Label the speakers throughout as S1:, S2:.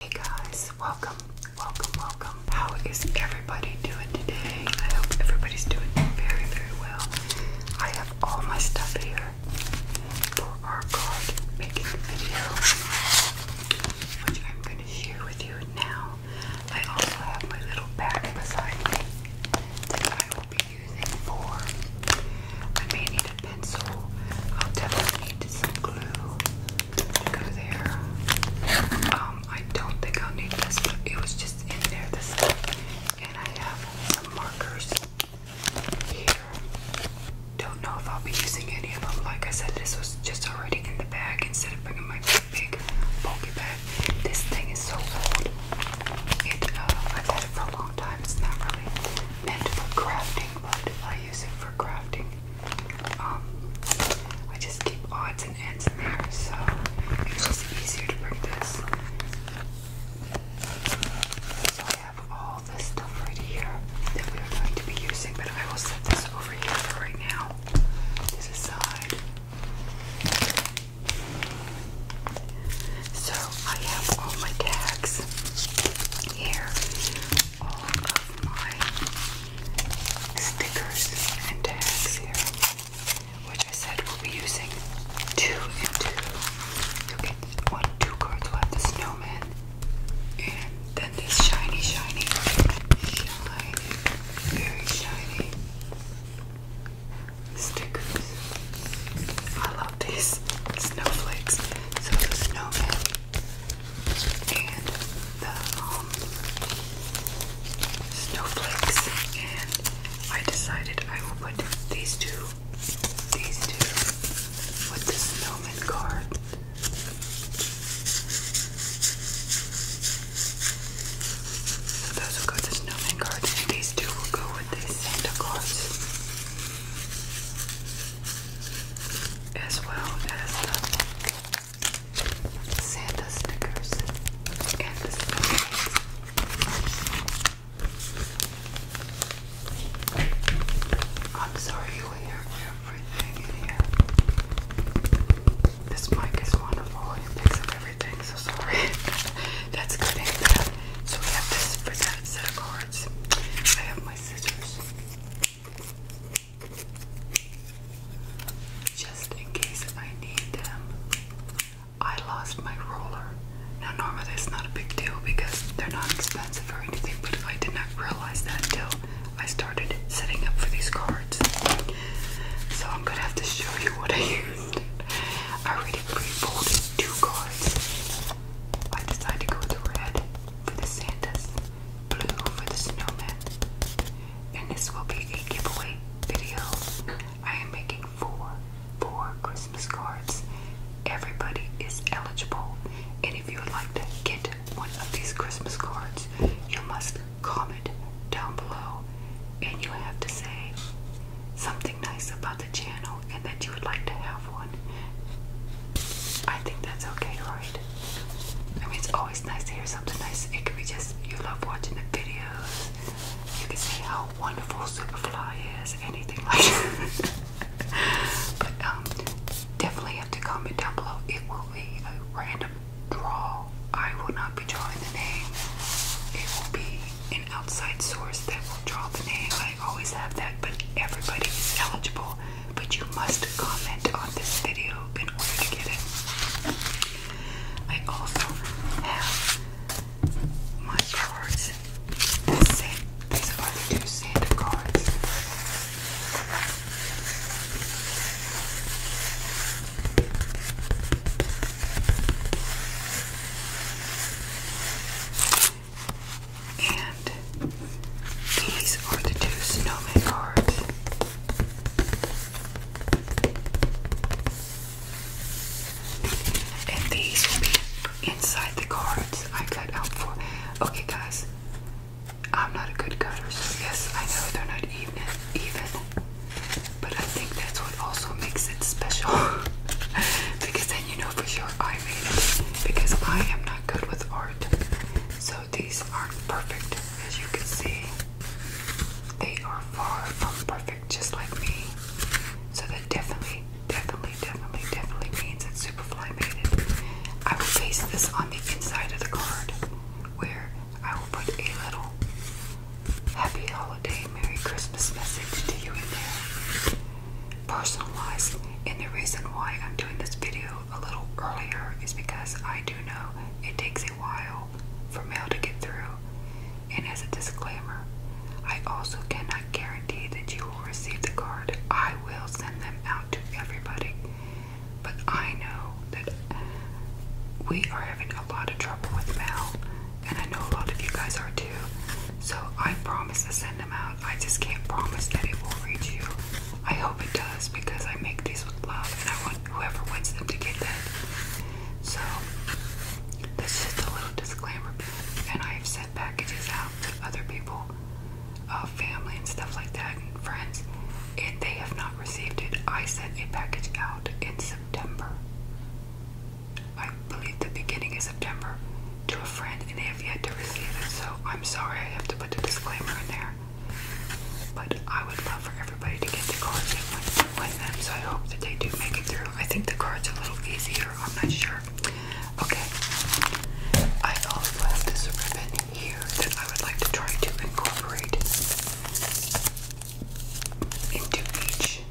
S1: Hey guys, welcome, welcome, welcome. How is everybody doing today? I hope everybody's doing very, very well. I have all my stuff here for our card making video, which I'm going to share with you now. I also have my little bag beside me that I will be using for. I may need a pencil. I'll definitely need some glue to go there. Um, I don't think I'll need this, but it was just in there this stuff. And I have some markers here. Don't know if I'll be using any of them. Like I said, this was just already in the bag instead of bringing my big bulky bag. This thing is so old. Uh, I've had it for a long time. It's not really meant for crafting, but I use it for crafting. Um, I just keep odds and ends in there, so it's just easier to bring this. So I have all this stuff right here that we are going to be using, but I will set this over here for right now. This aside. So I have all my tags here, all of my stickers and tags here, which I said we'll be using two and two. get one, two cards left, the snowman, and then this shiny, shiny, shiny, very shiny stickers. I love these snowflakes. So the snowman and the um, snowflakes, and I decided I will put these two, these two, with the snowman card those will go to snowman cards, these two will go with the Santa cards, as well as the Santa stickers and the snowman. I'm sorry you hear everything in here. This mic is wonderful. It picks up everything, so sorry. That's good and So we have this for set of cards. I have my scissors. Just in case I need them. I lost my roller. Now normally it's not a big deal because they're not expensive or anything, but I did not realize that till I started setting up for these cards. So I'm gonna have to show you what I I already pre-folded two cards. I decided to go with red for the Santas, blue for the snowman, and this will be a giveaway video. I am making four, four Christmas cards. Everybody is eligible, and if you would like to get one of these Christmas cards, you must comment down below and you have to say something nice about the channel and that you would like to have one. I think that's okay, right? I mean, it's always nice to hear something nice. It could be just you love watching the videos. You can say how wonderful Superfly is, anything like that. but um, definitely have to comment down below. It will be a random draw I will not be drawing the name. It will be an outside source that will draw the name. I always have that, but everybody is eligible. But you must comment on this video in order to get it. I also have my cards. This set, these are the two Santa cards. And these are the two snowman cards. And these will be inside the cards I cut out for. Okay, guys, I'm not a good cutter, so yes, I know they're not even. even. But I think that's what also makes it special. because then you know for sure I made it. Because I am not good with art. So these aren't perfect, as you can see. They are far from perfect, just like me. So that definitely, definitely, definitely, definitely means it's that Superfly made it. I will paste this on the inside of the card where I will put a little Happy holiday, Merry Christmas message to you in there. Personalized, and the reason why I'm doing this video a little earlier is because I do know it takes a while for mail to get through. And as a disclaimer, I also cannot guarantee that you will receive the card. I will send them out to everybody. But I know that we are having a lot of trouble with mail and I know a lot of you guys are too. So I promise to send them out. I just can't promise that it will reach you. I hope it does because I make these with love and I want whoever wants them to get that. So this is a little disclaimer. And I have sent packages out to other people, uh, family and stuff like that, and friends, and they have not received it. I sent a package out in September I believe the beginning of September to a friend and they have yet to receive it. So I'm sorry I have to put the disclaimer in there. But I would love for everybody to get the cards and win them. So I hope that they do make it through. I think the cards are a little easier. I'm not sure. Okay. I also have this ribbon here that I would like to try to incorporate into each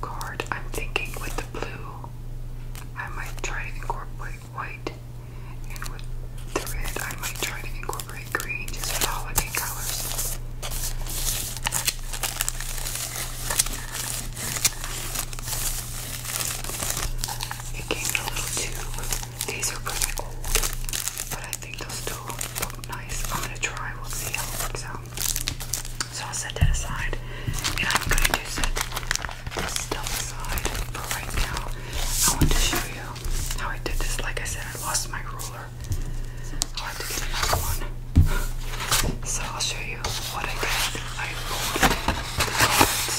S1: card. I'm thinking with the blue, I might try to incorporate white, and with the red, I might try to incorporate green just for holiday colors. It came a little tube. These are pretty old, I think they'll still look nice. I'm gonna try, we'll see how it works out. So I'll set that aside. And I'm going to do set this aside for right now. I want to show you how I did this. Like I said, I lost my ruler. i have to get another one. So I'll show you what I did. I rolled the cards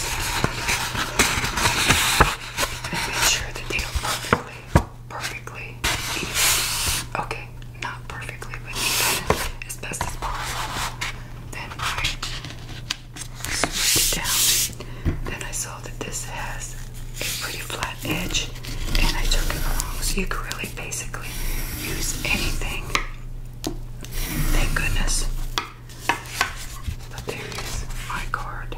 S1: and sure that they are perfectly perfectly Okay, not perfectly, but as best as possible. Then I smoothed it down. Then I saw that this has a pretty flat edge, and I took it along. So you can really basically use anything. Thank goodness. there is my card.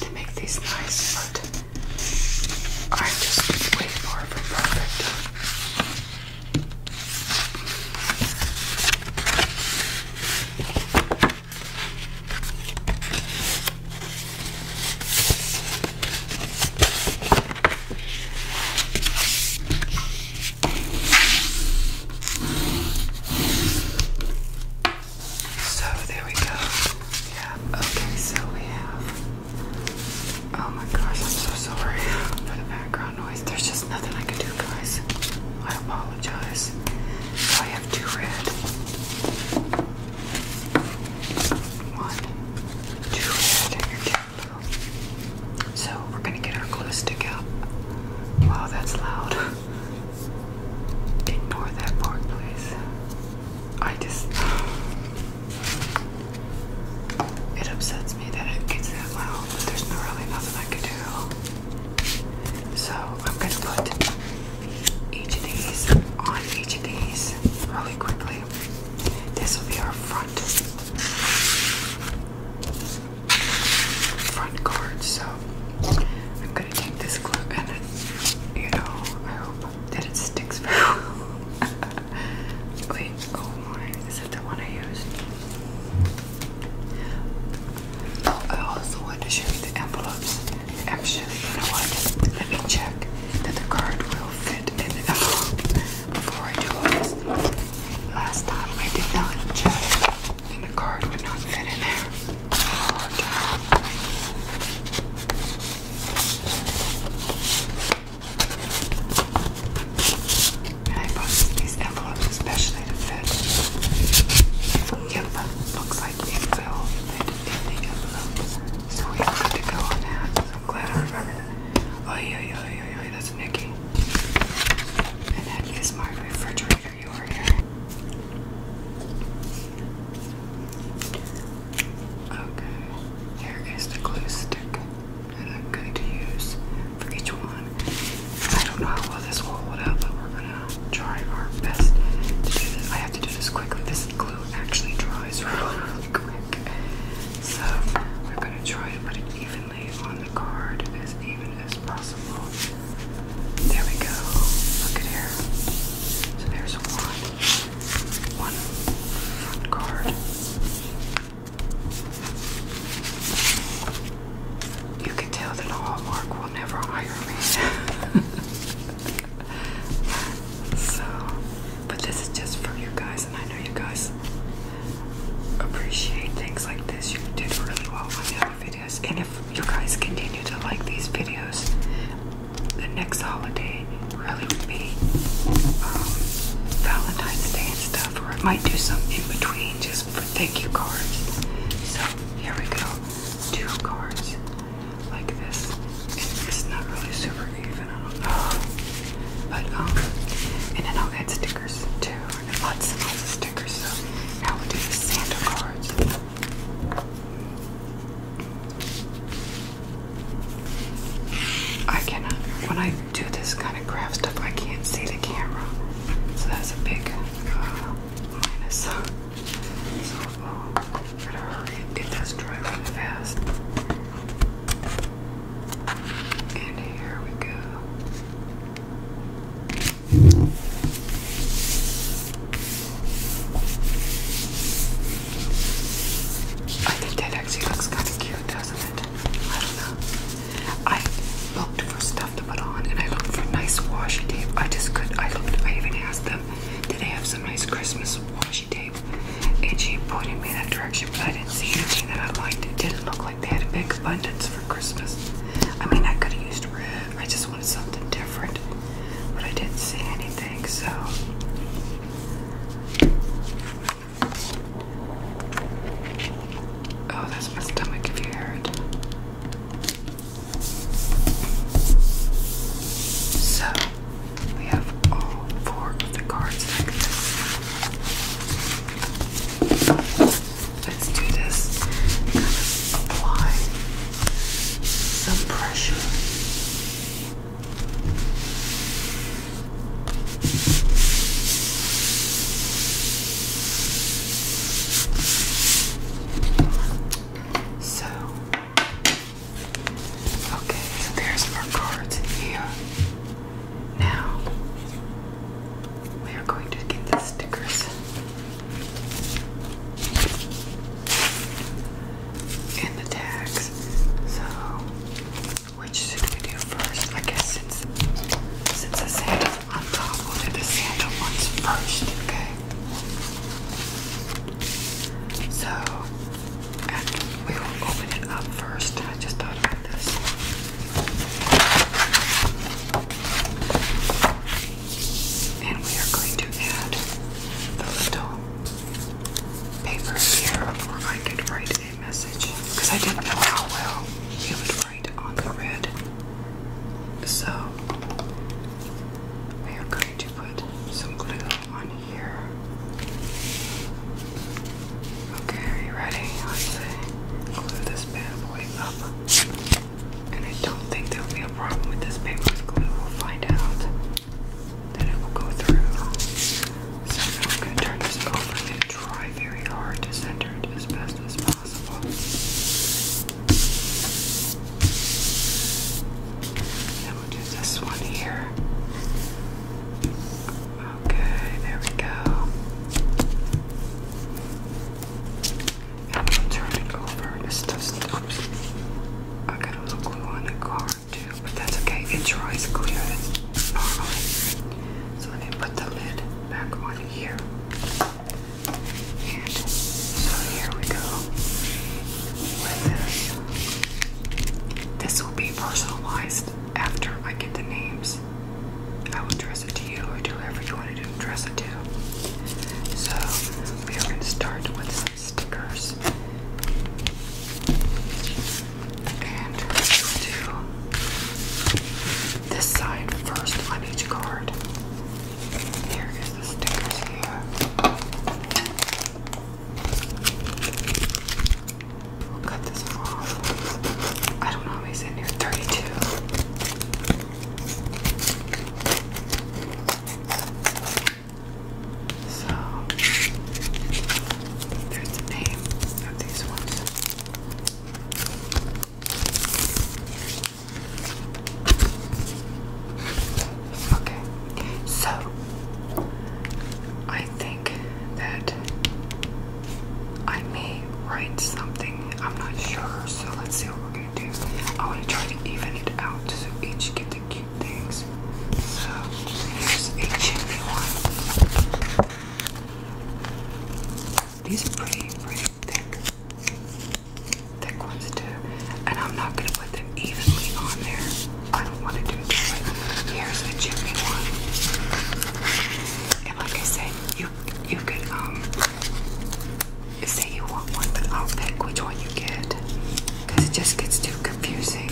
S1: to make these nice, but i just way far perfect. So there we go. Yeah. Okay, so we have. Oh my gosh, I'm so sorry for the background noise. There's just nothing I can do, guys. I apologize. So I have two red. One, two red, So we're gonna get our glue stick out. Wow, that's loud. Ignore that part, please. I just. It upsets me that it gets that loud, but there's really nothing I can do. So I'm going to put each of these on each of these really quickly. This will be our front front card, so I'm gonna take this glue and it, you know, I hope that it sticks very well. Wait, oh my, is that the one I used? Oh, I also want to show you the envelopes. Actually, you know what? Let me check that the card will fit in there. before I do this. Last time I did not check and the card would not fit in there. I bought these envelopes especially to fit. Yep, looks like it will fit in the envelope. So we have to go on that. I'm glad I remembered that. Oh, yeah, yeah, yeah, yeah, that's Nikki. And that is my refrigerator. Okay, here is the glue stick and I'm going to use for each one. I don't know how well this will hold out, but we're gonna try our best to do this. I have to do this quickly. This glue actually dries really quick. So we're gonna try to put it evenly on the card, as even as possible. There we go. Look at here. So there's one, one card. You can tell that Hallmark will never hire me. so, but this is just for you guys, and I know you guys appreciate things like this. You did really well with the other video. And if you guys continue to like these videos, the next holiday really would be um, Valentine's Day and stuff, or it might do some in between just for thank you cards. So here we go, two cards like this. it's not really super even, I don't know, but um, and then I'll add stickers too, and lots and stickers. So now we do the Santa cards. I cannot, uh, when I do this kind of craft stuff, I can't see the camera. So that's a big uh, minus. So, oh, gotta hurry. It does dry really fast. And here we go. I think that actually looks kind of cute, doesn't it? I don't know. I looked for stuff to put on, and I looked for nice washi tape. I just could. I looked. I even asked them, did they have some nice Christmas washi tape? And she pointed me in that direction, but I didn't see anything that I liked. It didn't look like they had a big abundance for Christmas. I mean, I could have used red. I just something different, but I didn't see anything, so. Oh, that's my stomach if So, we have all four of the cards Let's do this. Kind of apply some pressure. So, okay, there's our cards here. Now, we are going to get the stickers and the tags. So, which should we do first? I guess since since the sandals on top, we the sandal ones first, okay? So, we will open it up first. I just thought about this. And we are going to add the little paper here where I could write a message because I didn't know how well it would write on the red. So we are going to put some glue on here. Okay, are you ready? Let's glue this bad boy up. And I don't think there'll be a problem with this paper's glue. We'll find out that it will go through. So I'm going to turn this over and try very hard to center it as best as possible. Then we'll do this one here. Okay, there we go. I'm gonna turn it over. It's just, oops. I got a little glue on the card too, but that's okay. It dries clear. That's normally. So let me put the lid back on here. And so here we go. With this. This will be personalized after I get the names. I will dress it to you or do whatever you want to do, dress it to. So we are going to start with stickers. And we'll do this side first on each card. Here is the stickers here. cut this off. I don't know how many's in 32. So there's the name of these ones. Okay, so I think that I may write something. I'm not sure, so let's see what we're gonna do. I want to try to even it out so each gets cute things. So here's a chimney one. These are pretty, pretty thick. Thick ones too. And I'm not gonna put them evenly on there. I don't want to do that. Here's a chimney one. And like I said, you you could um say you want one, but I'll pick which one you get because it just gets too confusing.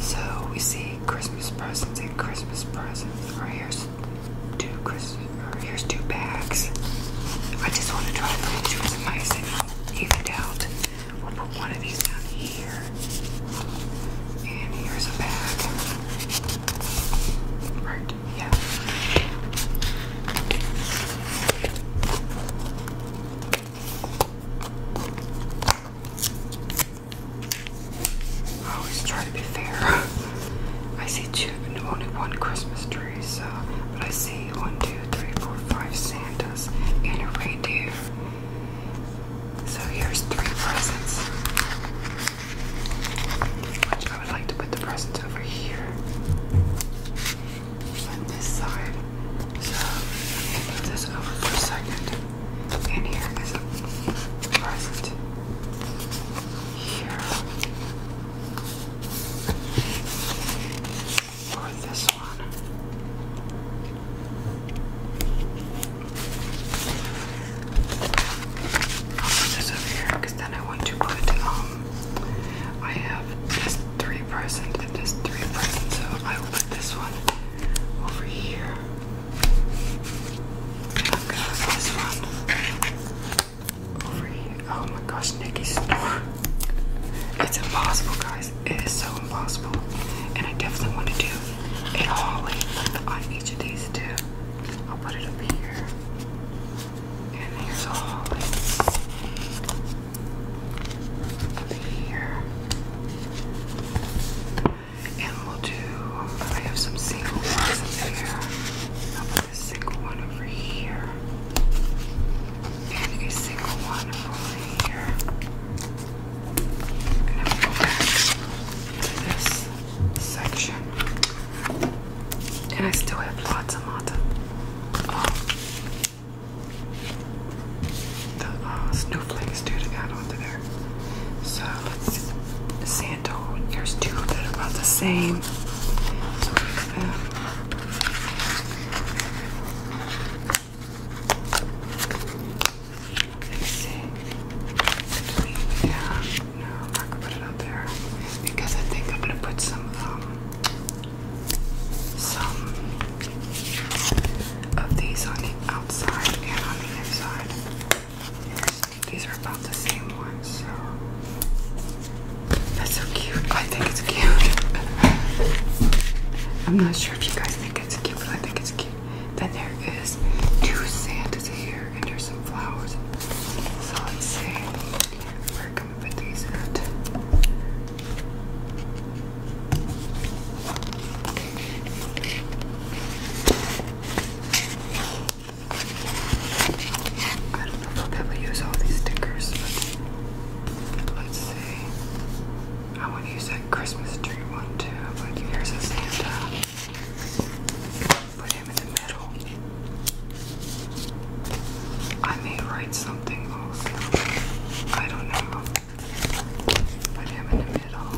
S1: So we see Christmas presents and Christmas presents. Or here's two Christmas, or here's two bags. I just want to try to put yours and mine evened out. We'll put one of these down here, and here's a bag. Right? Yeah. I always try to be fair. I see two, only one Christmas tree, so, but I see one, two, three, four, five Santas and a reindeer. So here's three presents, which I would like to put the presents over here and this side. So I'm gonna this over for a second. And here is a present. Here or this one. I'll put this over here because then I want to put it on. I have this three person and this three person, so I will put this one over here. I'm going this one over here. Oh my gosh, Nicky's door! It's impossible, guys. It is so impossible. And I definitely want to do a hauling on each of these two. I'll put it up here. And here's a hauling here. And we'll do, I have some single ones in here. I'll put this single one over here. And a single one over here. And then go back to this section. And I still have lots of um, the uh, snowflakes too to add onto there. So let's Santo. There's two that are about the same. Let's see. Yeah, no, I'm put it up there because I think I'm gonna put some um, some of these on the outside and on the inside. These are about the same ones, so that's so cute. I think it's cute. I'm not sure if you guys think it's cute, but I think it's cute. Then there is two Santas here, and there's some flowers. So let's see. Where I don't know if I'll be to use all these stickers, but let's see. I want to use that Christmas tree one too, but here's a Santa. Put him in the middle. I may write some I don't know. Put him in the middle.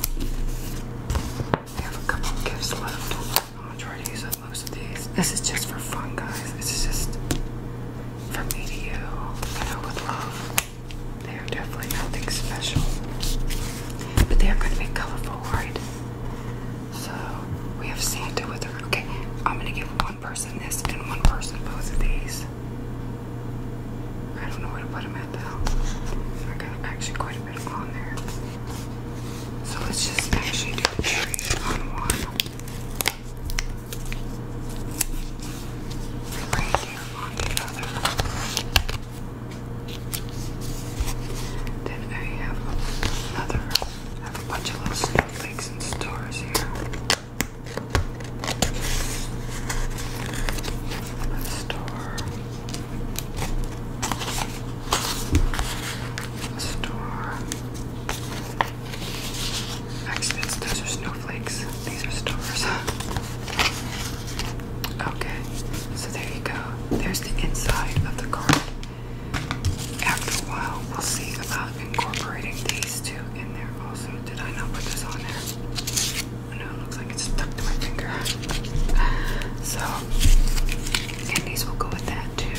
S1: We have a couple gifts left. I'm gonna try to use up most of these. This is just for fun, guys. This is just for me to you. You know, with love. They are definitely nothing special. But they are gonna be colorful, right? So we have Santa with her. Okay, I'm gonna give one one person this and one person both of these. I don't know where to put them at though. I got actually quite a bit on there. So let's just actually do the on one. And reindeer on the other. Then I have another, I have a bunch of little snowflakes and stars here. Store. Store. Actually, those are snowflakes. These are stars. okay, so there you go. There's the inside of the card. After a while, we'll see about incorporating these two in there also. Did I not put this on there? No, it looks like it's stuck to my finger. So, and these will go with that too.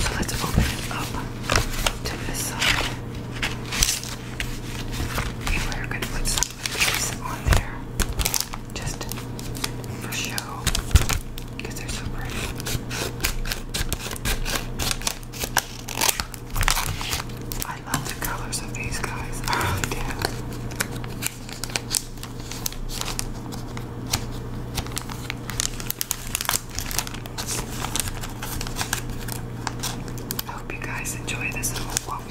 S1: So let's open it up to this side. And we're going to put some of on there just for show because they're so pretty. I love the colors of these guys. Oh really do. I hope you guys enjoy this little walk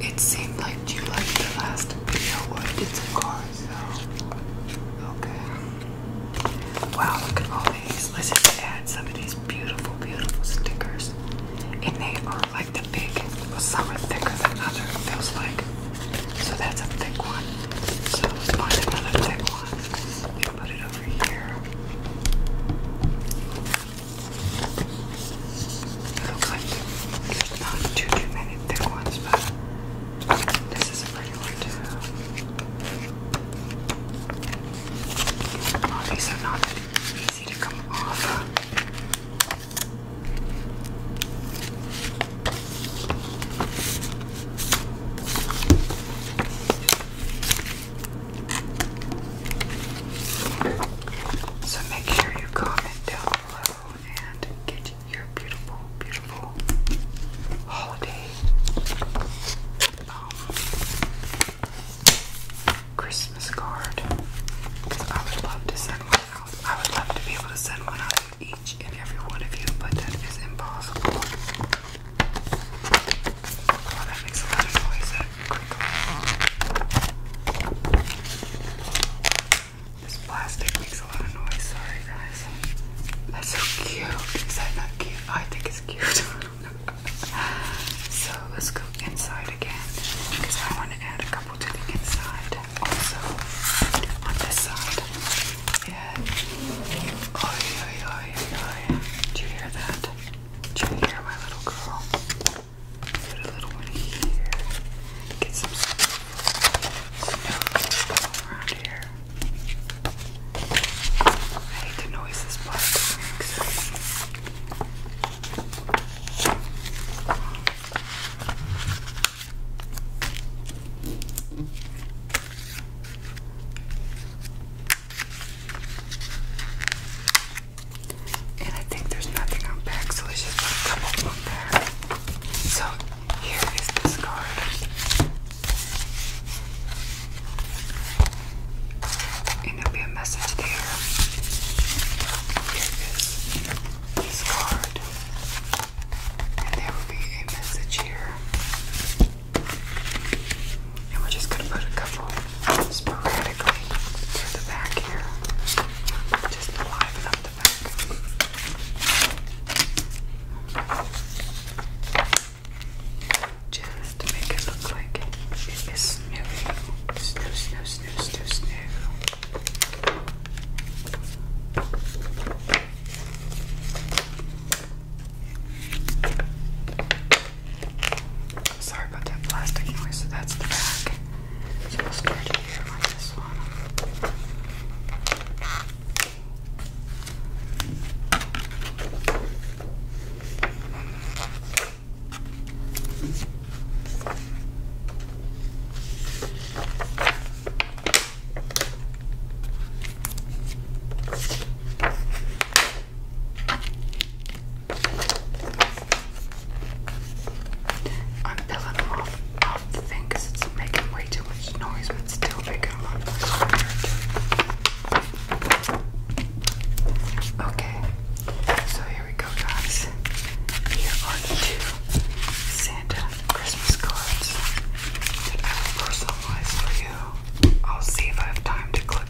S1: It seemed like you liked the last video I did some cars, so okay. Wow, look at all let's just add some of these beautiful, beautiful stickers. And they are like the big, some are thicker than other, it feels like. So that's a thick one. So let's find another thick one and put it over here. looks like there's not too, too many thick ones, but this is a pretty one too. these are not easy to come off. So make sure you comment down below and get your beautiful, beautiful holiday um, Christmas card. Because I would love to send one out. I would love to be able to send one out to each and every one of you, but that is impossible. Oh, that makes a lot of noise. That This plastic makes a lot of noise. Sorry, guys. That's so cute. Is that cute? I think it's cute. so let's go inside again because I want to add a couple to the inside. Also on this side. Yeah. Oi, oi, oi, oi. Do you hear that? Do you hear my little girl? Put a little one here. Get some stuff around here. I hate the noise this plastic And I think there's nothing on back, so let's just put a couple there. So here is this card. And there'll be a message there. Here is this card. And there will be a message here. And we're just gonna put a couple sporadically through the back here. Just to liven up the back. Just make it look like it is snow. Snow, snow, snow, snow, snow. Sorry about that plastic noise, so that's the back. So we'll start here on this one. I'm peeling them off, off the thing because it's making way too still making a lot Okay, so here we go, guys. Here are two Santa Christmas cards that I will for you. I'll see if I have time to clip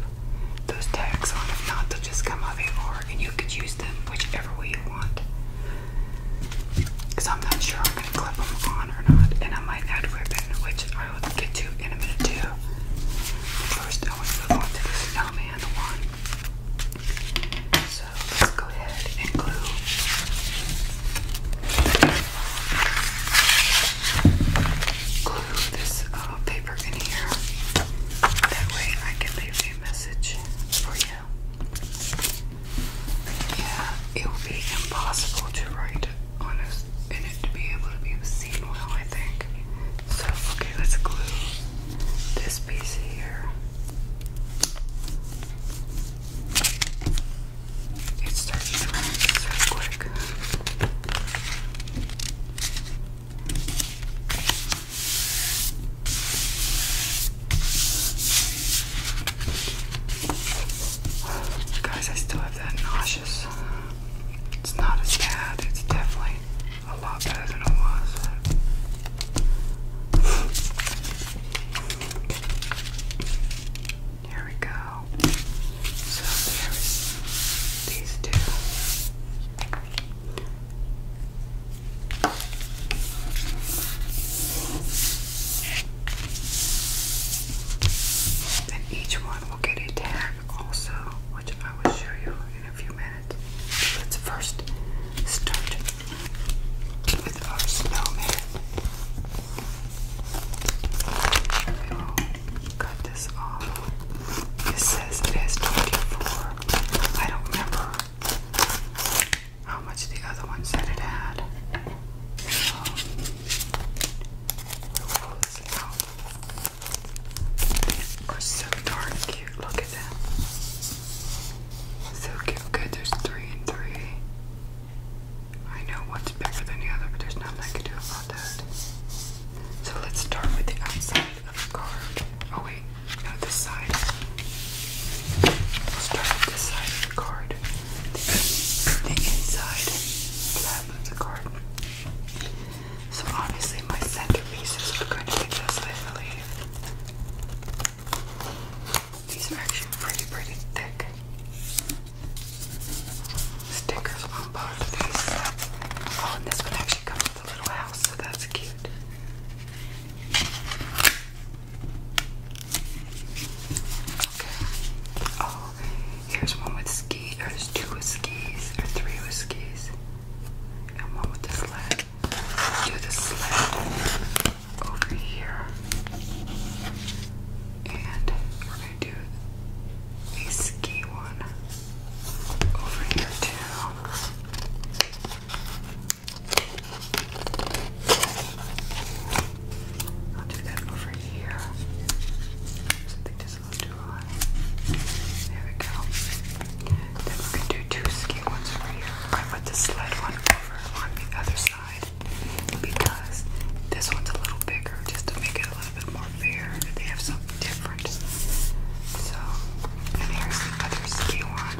S1: those tags on. If not, they'll just come how they are, and you could use them whichever way you want. Because I'm not sure I'm going to clip them on or not, and I might add ribbon, which I will get to in a minute too. First, I want to move on to this Elman one. So let's go ahead and glue. Glue this uh, paper in here. That way I can leave a message for you. Yeah, it will be impossible to write honest it to be able to be seen well, I think. So, okay, let's glue this piece here. It's starting to run so quick. Guys, I still have that nauseous. It's not as bad. It's definitely a lot better than it was. Here we go. So there's these two. And each one will get a tag also, which I will show you in a few minutes. let's first start with our snowman. We oh, cut this off. This says it has 24. I don't remember how much the other one said it had. Um, are so darn cute. Look at them. So cute. Okay, there's three and three. I know one's bigger than the other, but there's nothing I can do about that. So let's start with the outside of the card. Oh wait, not this side. Let's start with this side of the card and inside of the garden. So obviously my centerpieces are going to be just I believe. These are actually pretty pretty thick. Stickers on both of these. Oh, and this one actually comes with a little house, so that's cute. Okay. Oh, here's one with skis. Or there's two with skis, or three with skis, and one with the sled. Do the sled over here, and we're gonna do a ski one over here too. I'll do that over here. I think a little too high. There we go. Then we're going to do two ski ones over here. I put the sled one over on the other side because this one's a little bigger just to make it a little bit more fair that they have something different. So, and here's the other ski one.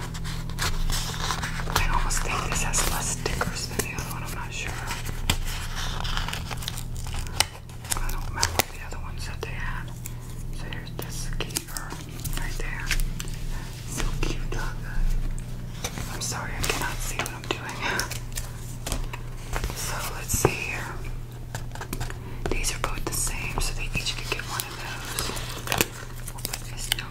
S1: I almost think this has less stickers than the other one not sure. I don't remember the other ones that they had. So here's this keeper right there. So cute, dog. Uh, I'm sorry, I cannot see what I'm doing. So let's see here. These are both the same, so they each could get one of those. We'll put this here.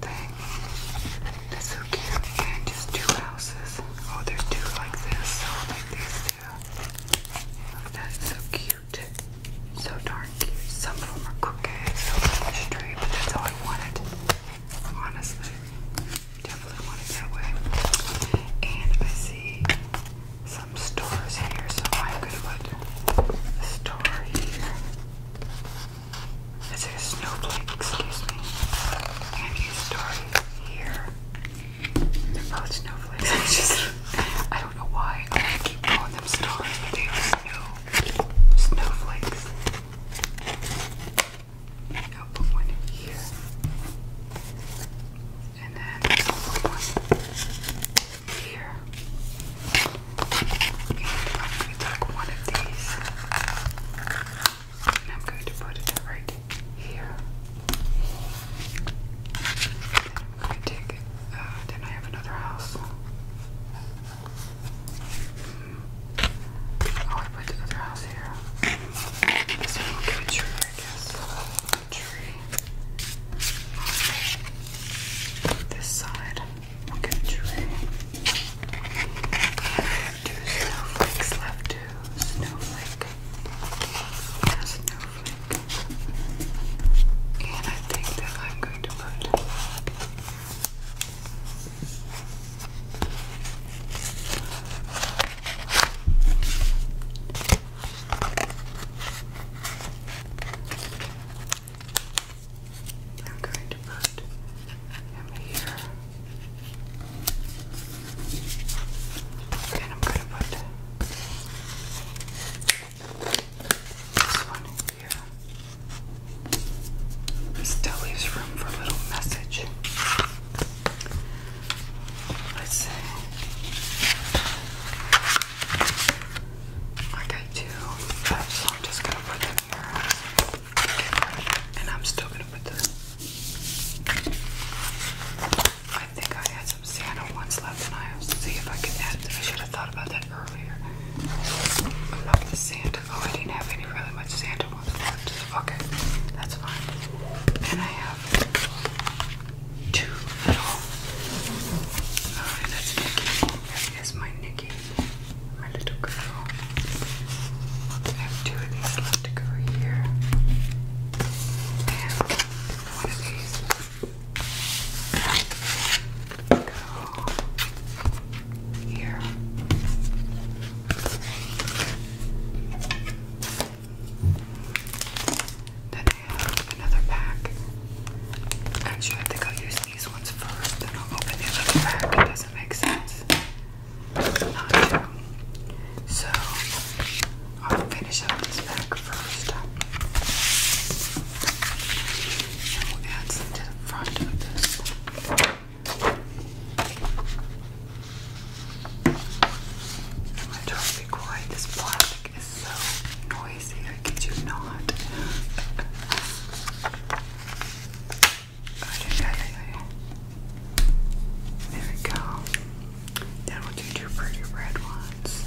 S1: thing. That's so cute. And just two houses. Oh, there's two like this. Oh, like these two. that's so cute. So darn Some of them are crooked, some are straight, but that's all I wanted. Honestly. Definitely want that way. And I see some stores here, so I'm gonna put a store here. Is it a snowflake, excuse me. And you start here. They're both snowflakes. I just, I don't know why I keep calling them stars, but they are snow, snowflakes. I'll put one in here. And then I'll put one here. I'm going to take one of these and I'm going to put it right here. Then uh, i have another house. Mm. Oh, I put the other house here. This one will give a tree, I guess. tree. This side. We'll get you Two snowflakes left. Two snowflake. Yeah, snowflake. And I think that I'm going to put. I'm going to put him here. And I'm going to put this one here. still leaves room for a little message. Let's see. I do, so I'm just gonna put them here, and I'm still gonna put them. I think I had some Santa ones left, and I have to see if I can add. them. I should have thought about that earlier. About the Santa. Oh, I didn't have any really much Santa ones left. Okay, that's fine. And I have two little. Oh, uh, and that's Nikki. That is my Nikki my little girl. I have two of these left to go here. And one of go here. Then I have another pack. Actually, I think I'll use these ones first, then I'll open the other pack. It doesn't make sense not to. So I'll finish up this pack first. And we'll add some to the front of this. I'm gonna try This plastic is so noisy. I could do not. I not There we go. Then we'll do two pretty red ones.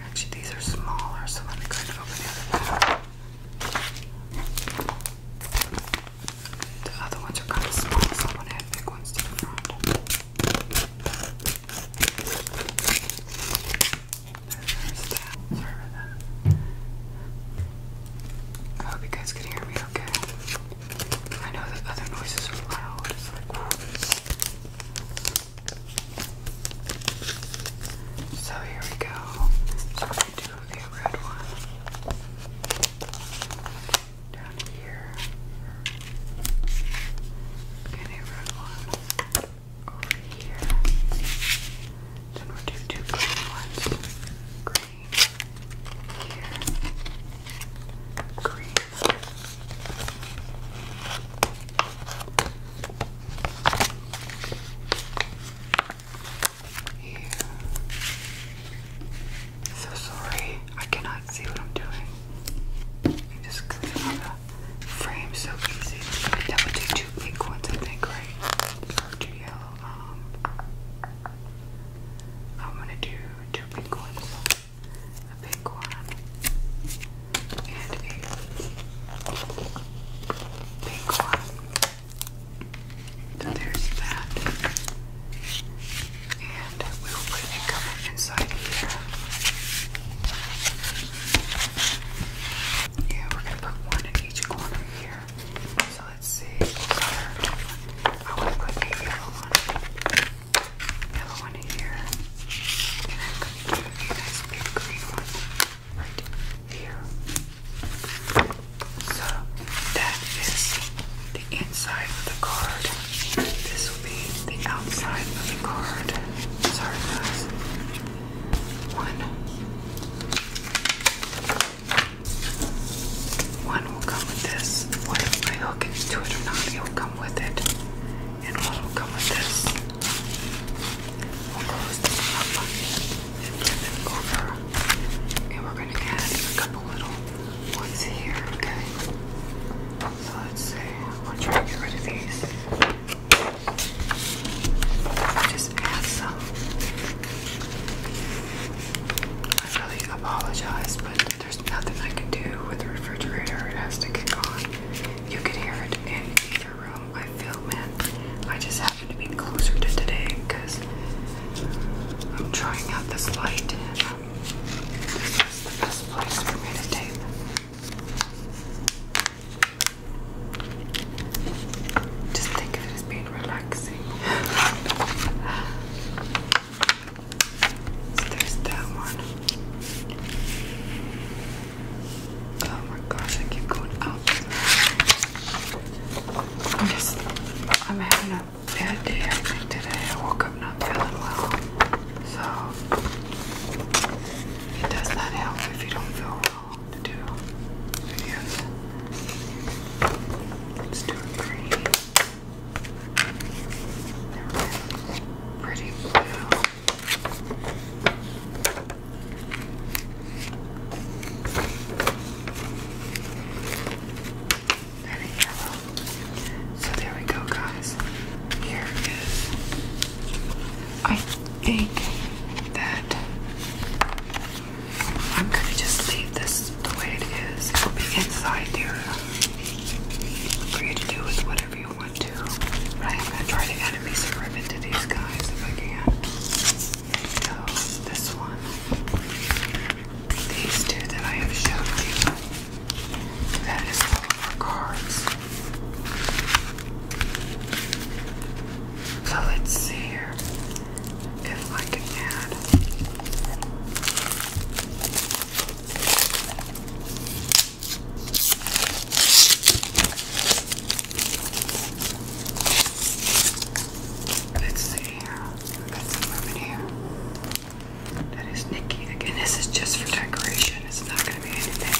S1: Actually, these are smaller, so let me kind of open the other one. The other ones are kind of small, I'm to add big ones to the front. Oh, I hope you guys can hear me okay. I know that other noises are loud. So here we go. So we do the red one down here. And red one over here. Then we'll do two green ones. Green here. Green. Here. So sorry, I cannot not see what I'm doing. just click on the frame so easy. That would do two pink ones, I think, right? two yellow. Um, I'm gonna do two pink ones. A pink one and a pink one. there's that. And we will put a cover inside here. Yeah, we're gonna put one in each corner here. So let's see, I want to put a yellow one. Yellow one here. And a big green one right here. So that is the inside of the card. This will be the outside of the card. Sorry, guys. One. One will come with this. Whether I hook it to it or not, it will come with it. And one will come with this. We'll close this up and flip it over. And we're going to add a couple little ones here, okay? So let's see. I'm gonna try to get rid of these. Just add some. I really apologize, but there's nothing I can do with the refrigerator. It has to kick on. You can hear it in either room I feel, man. I just happen to be closer to today because I'm trying out this light. Um, this is the best place for me to tape. Just think of it as being relaxing. there's that one. Oh my gosh, I keep going out. I'm just, I'm having a bad day, today. I woke up. I'm not feeling well. So it does not help if you don't feel well to do videos. Let's do a green. Pretty blue. And yellow. So there we go, guys. Here is I think that I'm going to just leave this the way it is. It'll be inside there for you to do with whatever you want to. But I'm going to try to add a piece of ribbon to these guys if I can. So, this one. These two that I have showed you. That is all for cards. So let's see here if I can add. Let's see here. i got some women here. That is Nikki. Again, this is just for decoration. It's not going to be anything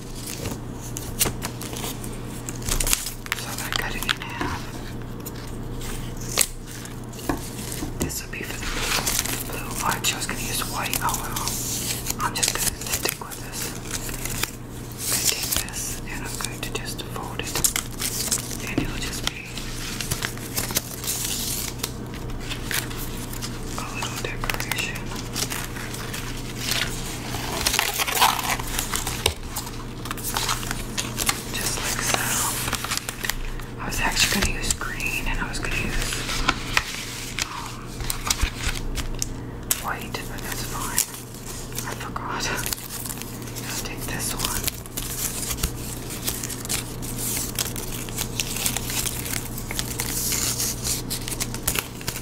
S1: So I am it in half. This would be for blue. I chose gonna use white. Oh well. I'm just gonna stick with this. take this and I'm going to just fold it. And it'll just be a little decoration. Just like so. I was actually going to use green and I was going to use um, white, but that's fine. I forgot. Let's take this one. I will put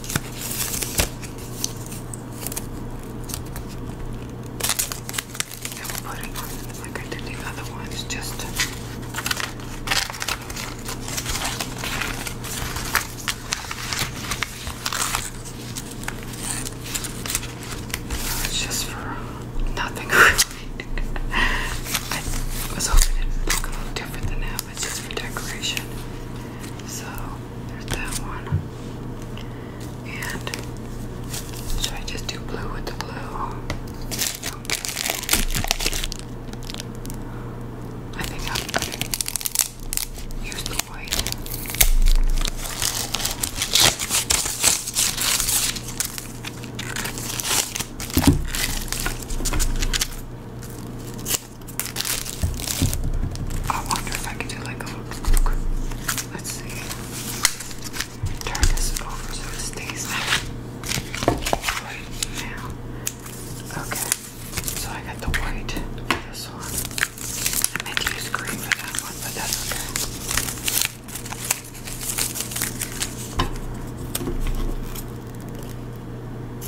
S1: it on like I did the other ones just it's just for nothing really. I was hoping it would a little different than that it's just for decoration. So there's that one. And should I just do blue with the blue? I think I'm going use the white. I wonder if I can do like a look. Let's see. Turn this over so it stays right now. Okay. So I got the white this one. I meant to green for that one, but that's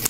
S1: okay.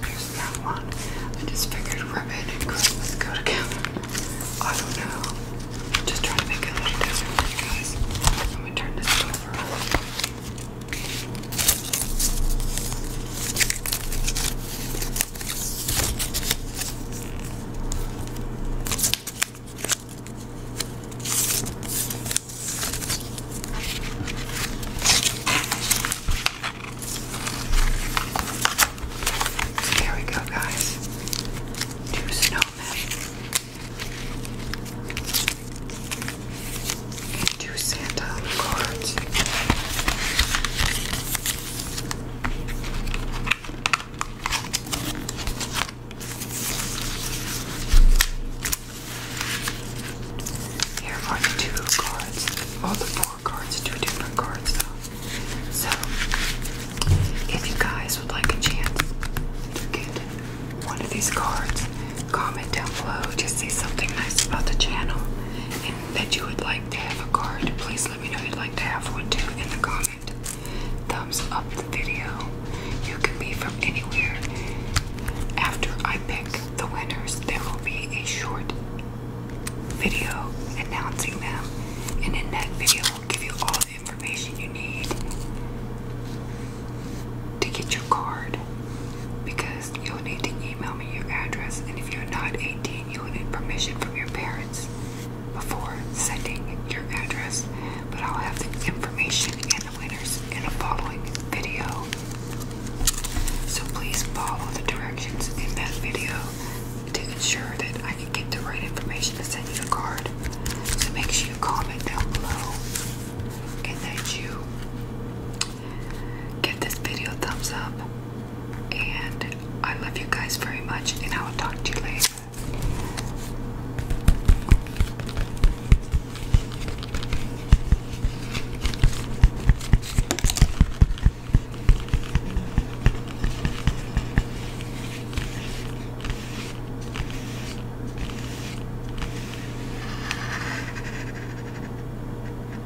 S1: There's that one. I just figured ribbon and Christmas go together. I don't know. I'm just trying to make it a little different for you guys. I'm gonna turn this over. There we go, guys. Two snowmen two Santa cards. Here are two cards. All the four cards, two different cards though. So, if you guys would like a chance to get one of these cards, comment down below. Just say something nice about the channel that you would like to have a card, please let me know you'd like to have one too in the comment. Thumbs up the video. You can be from anywhere. After I pick the winners, there will be a short video announcing them, and in that video, we will give you all the information you need to get your card because you'll need to email me your address, and if you're not 18, you will need permission from your parents before sending your address. But I'll have the information and the winners in a following video. So please follow the directions in that video to ensure that I can get the right information to send you the card. So make sure you comment down below and that you Give this video a thumbs up. And I love you guys very much, and I will talk to you later.